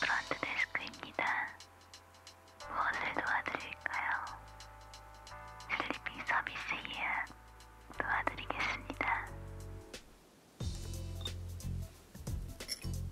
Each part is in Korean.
프런트 데스크입니다. 무엇을 도와드릴까요? 슬리핑 서비스 예약 도와드리겠습니다.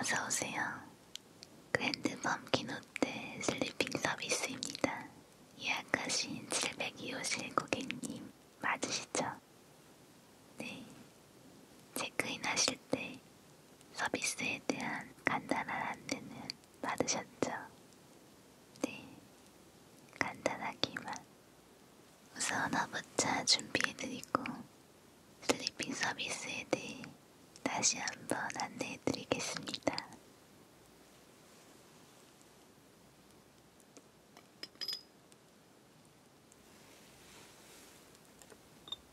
어서오세요. 그랜드 범킨 호텔 슬리핑 서비스입니다. 예약하신 702호실 고객님 맞으시죠? 네. 체크인 하실 때 서비스에 대한 간단한 안내는 받으셨죠? 네, 간단하기만. 우선 화부차 준비해드리고 슬리핑 서비스에 대해 다시 한번 안내해드리겠습니다.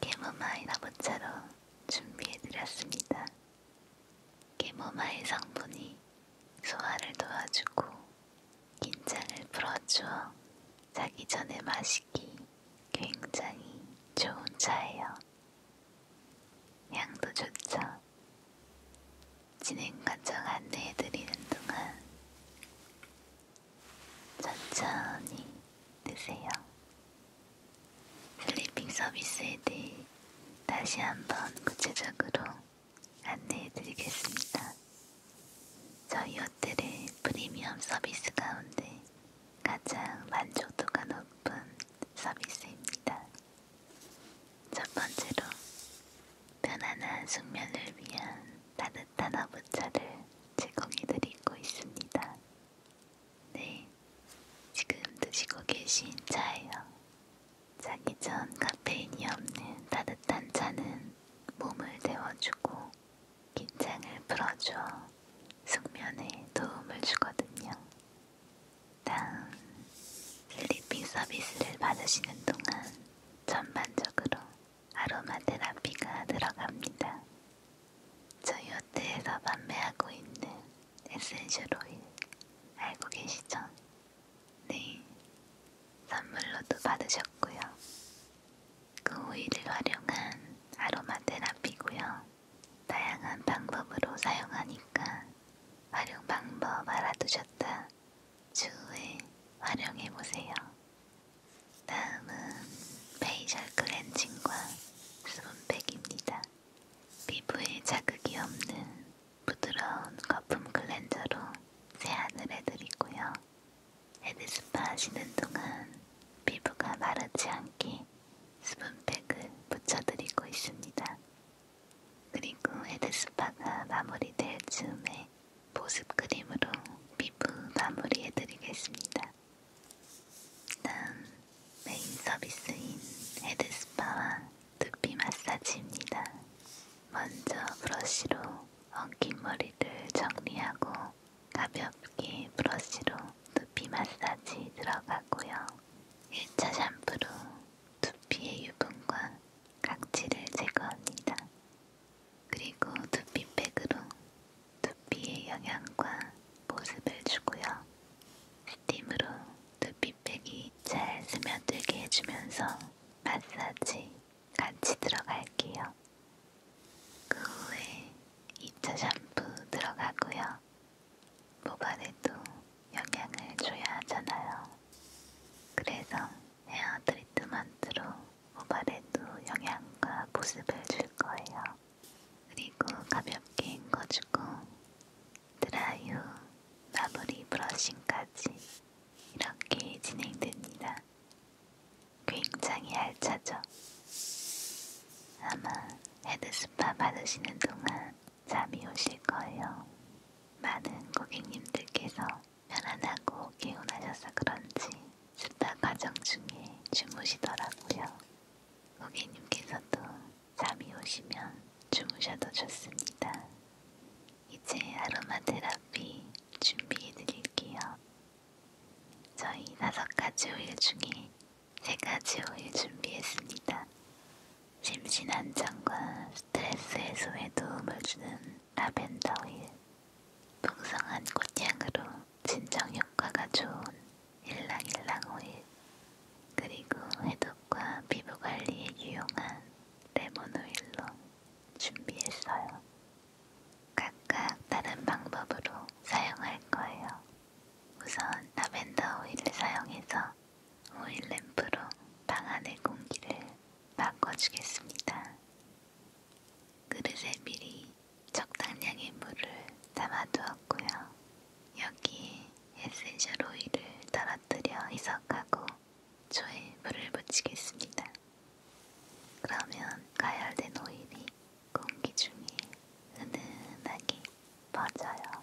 캐모마일 아보차로 준비해드렸습니다. 캐모마일 성분이 소화를 도와주고 긴장을 풀어주어 자기 전에 마시기 굉장히 좋은 차예요. 향도 좋죠. 진행 과정 안내해드리는 동안 천천히 드세요. 슬리핑 서비스에 대해 다시 한번 구체적으로 안내해 드리겠습니다. 저희 호텔의 프리미엄 서비스 가운데 가장 만족도가 높은 서비스입니다. 첫 번째로 편안한 숙면을 위한 따뜻한 따뜻한 아부차를 제거기들이 입고 있습니다. 네, 지금 드시고 계신 차예요. 자기 전 카페인이 없는 따뜻한 차는 몸을 데워주고 긴장을 풀어줘 숙면에 도움을 주거든요. 다음, 슬리핑 서비스를 받으시는 동안 전반적으로 아로마 테라피가 들어갑니다. 저이어트에서 판매하고 있는 에센셜 오일 알고 계시죠? 네, 선물로도 받으셨고요. 그 오일을 활용한 아로마 테라피고요. 다양한 방법으로 사용하니까 활용 방법 알아두셨다. 추후에 활용해보세요. 다음은 페이셜 클렌징과 수분팩입니다. 피부에 자극이 없는 부드러운 거품 클렌저로 세안을 해드리고요. 헤드스파 하시는 동안 피부가 마르지 않게 수분팩을 붙여드리고 있습니다. 그리고 헤드스파가 마무리될 즈음에 보습 크림으로 피부 마무리해드리겠습니다. 다음 메인 서비스인 헤드스파와 두피 마사지입니다. 먼저 브러쉬로 엉킨 머리를 정리하고 가볍게 브러쉬로 두피 마사지 들어가고요. 1차 샴푸로 두피의 유분과 각질을 제거합니다. 그리고 두피팩으로 두피에 영양과 보습을 주고요. 스팀으로 두피팩이 잘 스며들게 해주면서 마사지 같이 들어갈게요. 그 후에 2차 샴푸 들어가고요. 모발에도 영향을 줘야 하잖아요. 그래서 헤어 트리트먼트로 모발에도 영양과 보습을 줄 거예요. 그리고 가볍게 헹궈주고 드라이후 마무리 브러싱까지 이렇게 진행됩니다. 굉장히 알차죠? 아마 헤드스파 받으시는 동안 잠이 오실 거예요. 많은 고객님들께서 편안하고 개운하셔서 그런지 쓰다 과정 중에 주무시더라고요. 고객님께서도 잠이 오시면 주무셔도 좋습니다. 이제 아로마 테라피 준비해드릴게요. 저희 다섯 가지 오일 중에 세 가지 오일 준비했습니다. 심신 안정과 스트레스 해소에 도움을 주는 라벤더 오일, 풍성한 꽃향으로 진정 효과가 좋은 일랑일랑 오일, 그리고 해독과 피부 관리에 유용한 레몬 오일로 준비했어요. 각각 다른 방법으로 사용할 거예요. 우선 라벤더 오일을 사용해서 오일 램프로 방 안의 공기를 바꿔주겠습니다. 그릇에 미리 적당량의 물을 담아두었고요. 여기에 에센셜 오일을 떨어뜨려 희석하고 초에 물을 묻히겠습니다. 그러면 가열된 오일이 공기 중에 은은하게 퍼져요.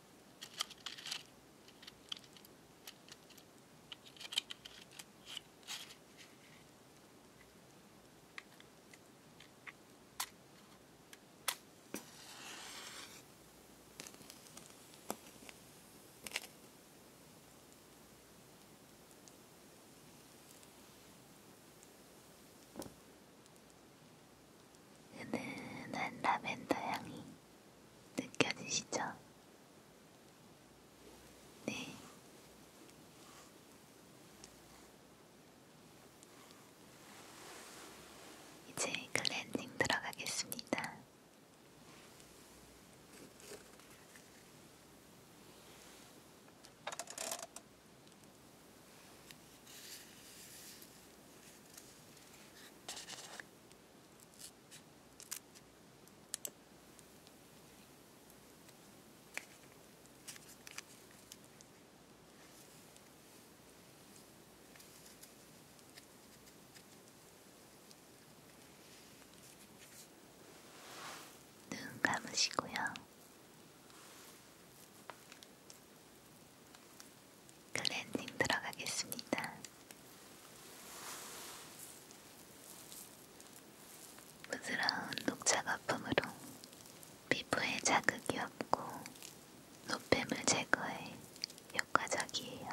은은한 라벤더 향이 느껴지시죠? 네. 이제 클렌징 들어가겠습니다. 눈 감으시고요. 클렌징 들어가겠습니다. 부드러운 녹차 거품으로 피부에 자극이 없고 노폐물 제거에 효과적이에요.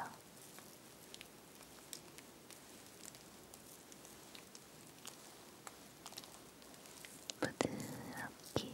부드럽게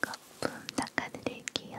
거품 닦아드릴게요.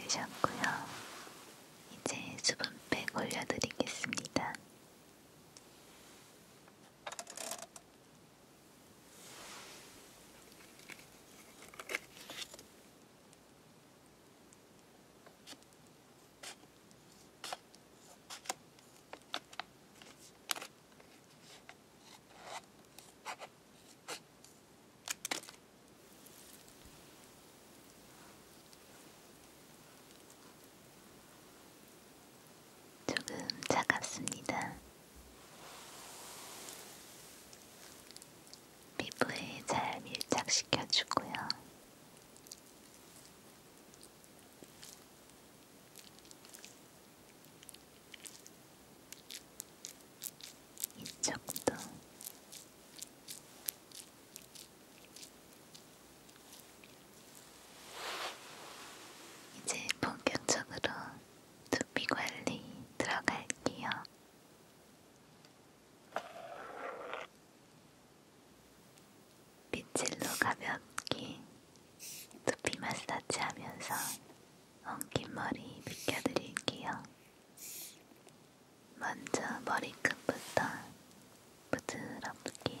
되셨고요. 이제 수분팩 올려드리겠습니다. 조금 차갑습니다. 피부에 잘 밀착시켜주고요. 이쪽도 이제 본격적으로 두피 관리 들어갈게요. 빗질로 가볍게 두피 마사지 하면서 엉킨 머리 빗겨드릴게요. 먼저 머리끝부터 부드럽게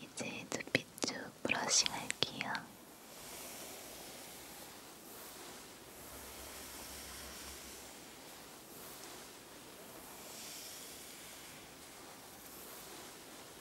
이제 눈빛 쭉 브러싱 할게요.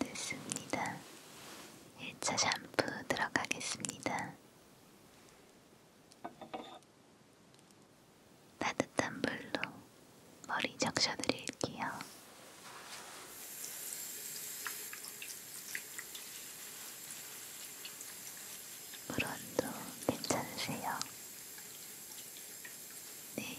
됐습니다. 1차 샴푸 들어가겠습니다. 따뜻한 물로 머리 적셔드릴게요. 물온도 괜찮으세요? 네.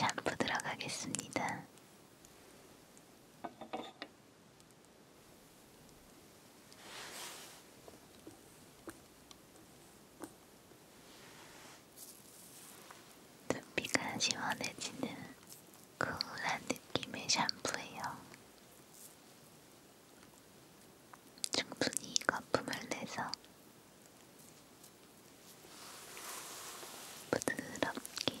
샴푸 들어가겠습니다. 두피가 시원해지는 쿨한 느낌의 샴푸예요. 충분히 거품을 내서 부드럽게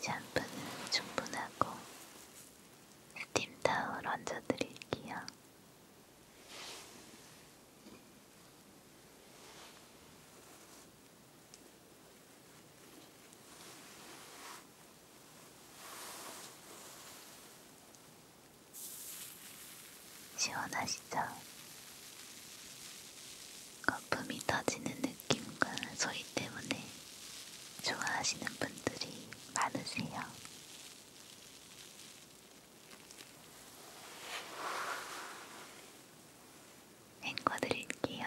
샴푸는 충분하고 스팀 타올 얹어드릴게요. 시원하시죠? 거품이 터지는 느낌. 느낌과 소리 때문에 좋아하시는 분들이 많으세요. 앵거 드릴게요.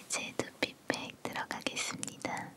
이제 두피팩 들어가겠습니다.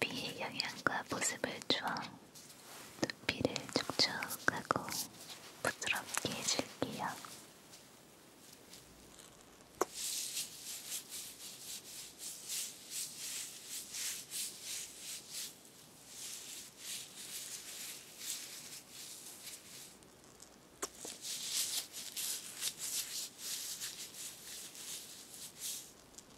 두피의 영양과 보습을 주어 두피를 촉촉하고 부드럽게 해줄게요.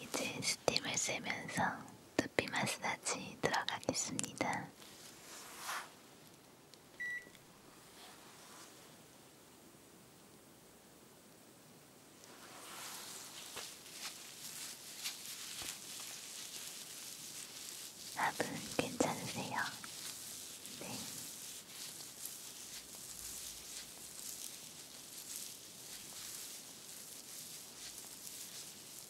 이제 스팀을 쓰면서 두피 마사지 들어가겠습니다. 밥은 괜찮으세요? 네.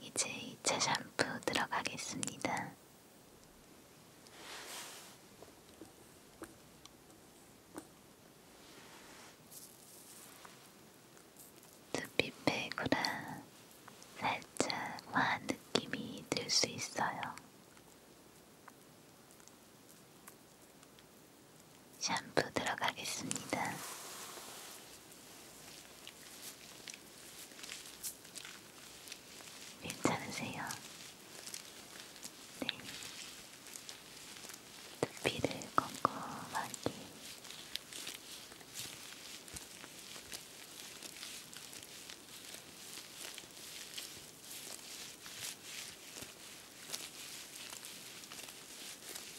이제 2차 샴푸 들어가겠습니다. 두피 빼고라 살짝 화한 느낌이 들 수 있어요. 샴푸 들어가겠습니다. 괜찮으세요? 네. 두피를 꼼꼼하게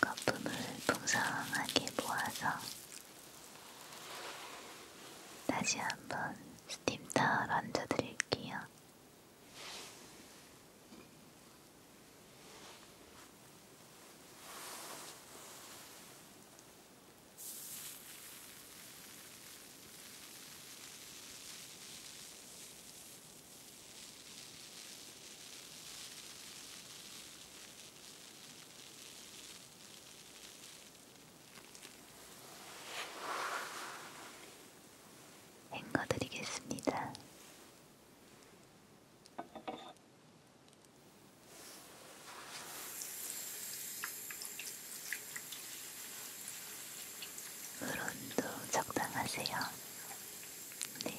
거품을 풍성하게 모아서 다시 한번 스팀타월 얹어드릴게요. 헹궈드리겠습니다. 물온도 적당하세요. 네.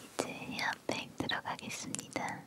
이제 헤어팩 들어가겠습니다.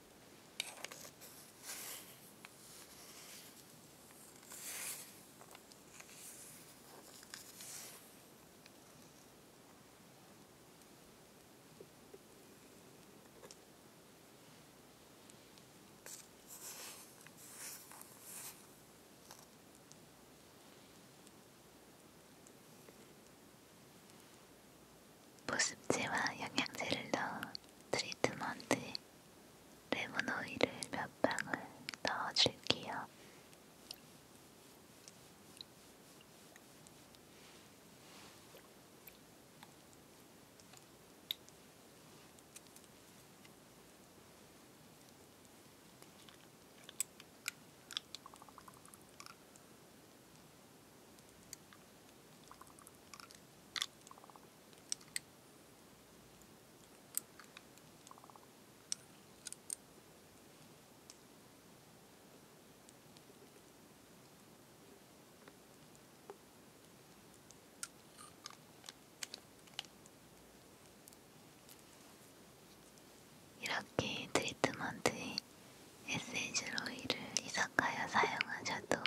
보습제와 영양제를 넣은 트리트먼트 레몬 오일을 몇 방울 넣어줄게요. 이렇게 트리트먼트의 에센셜 오일을 이사카야 사용하셔도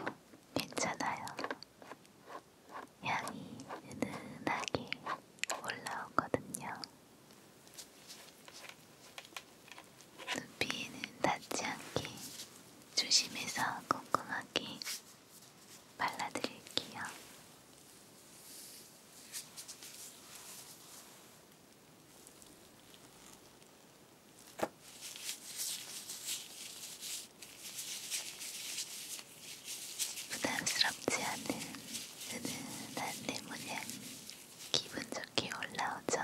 괜찮아요. 향이 은은하게 올라오거든요. 눈비에는 닿지 않게 조심해서 꼼꼼하게 발라드릴게요. 부담스럽지 않은 은은한 내모양 기분 좋게 올라오죠.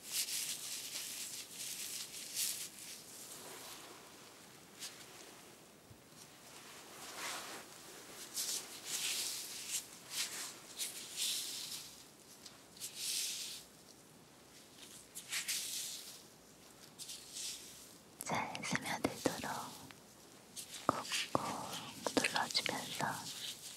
잘 스며들도록 꾹꾹 눌러주면서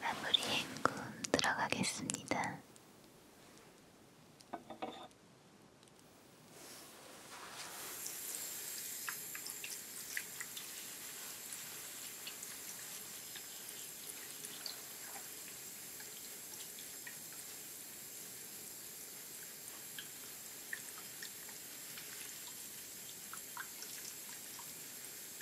마무리 헹굼 들어가겠습니다.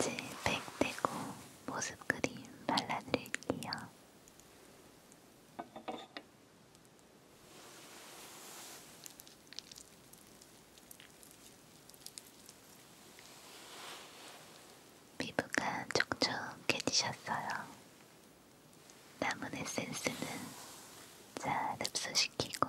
이제 팩 떼고 모습 그림 발라드릴게요. 피부가 촉촉해지셨어요. 남은 에센스는 잘 흡수시키고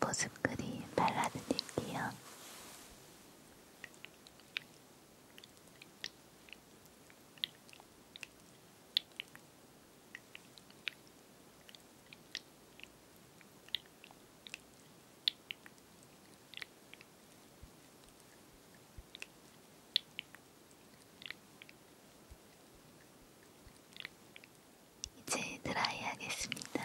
보습크림 발라드릴게요. 이제 드라이 하겠습니다.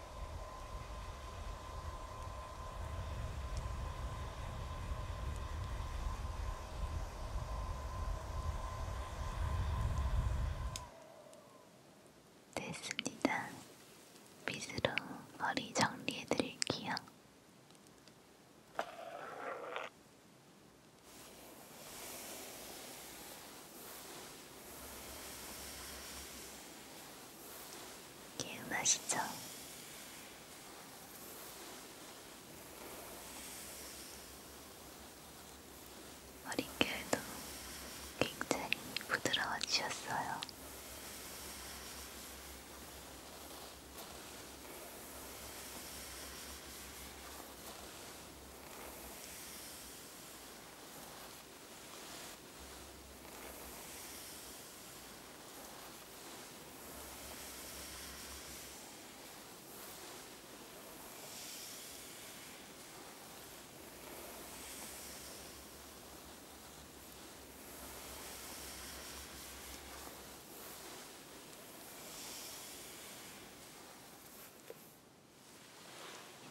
됐습니다. 빗으로 머리 정리해 드릴게요. 기억나시죠? 머릿결도 굉장히 부드러워지셨어요.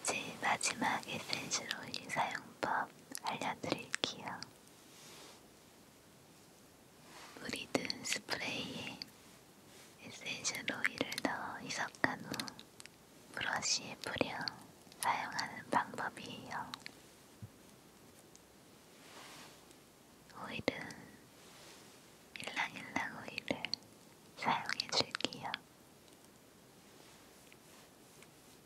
이제 마지막 에센셜 오일 사용법 알려드릴게요. 물이 든 스프레이에 에센셜 오일을 넣어 희석한 후 브러쉬에 뿌려 사용하는 방법이에요. 오일은 일랑일랑 오일을 사용해줄게요.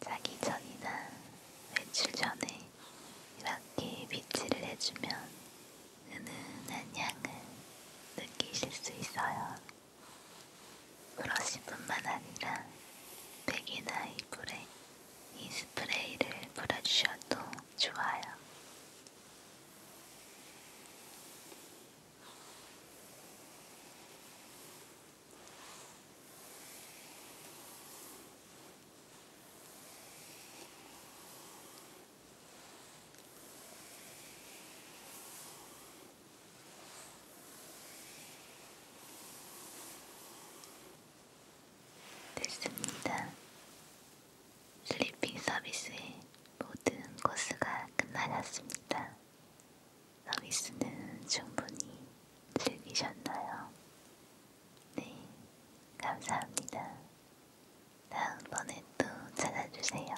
자기 전이나 외출 전에 이렇게 비치를 해주면 은은한 향을 느끼실 수 있어요. 브러시뿐만 아니라 베개나 이불에 이 스프레이를 뿌려주셔도 좋아요. 됐습니다. 슬리핑 서비스의 모든 코스가 끝나갔습니다. 서비스는 충분히 즐기셨나요? 네, 감사합니다. 다음번에 또 찾아주세요.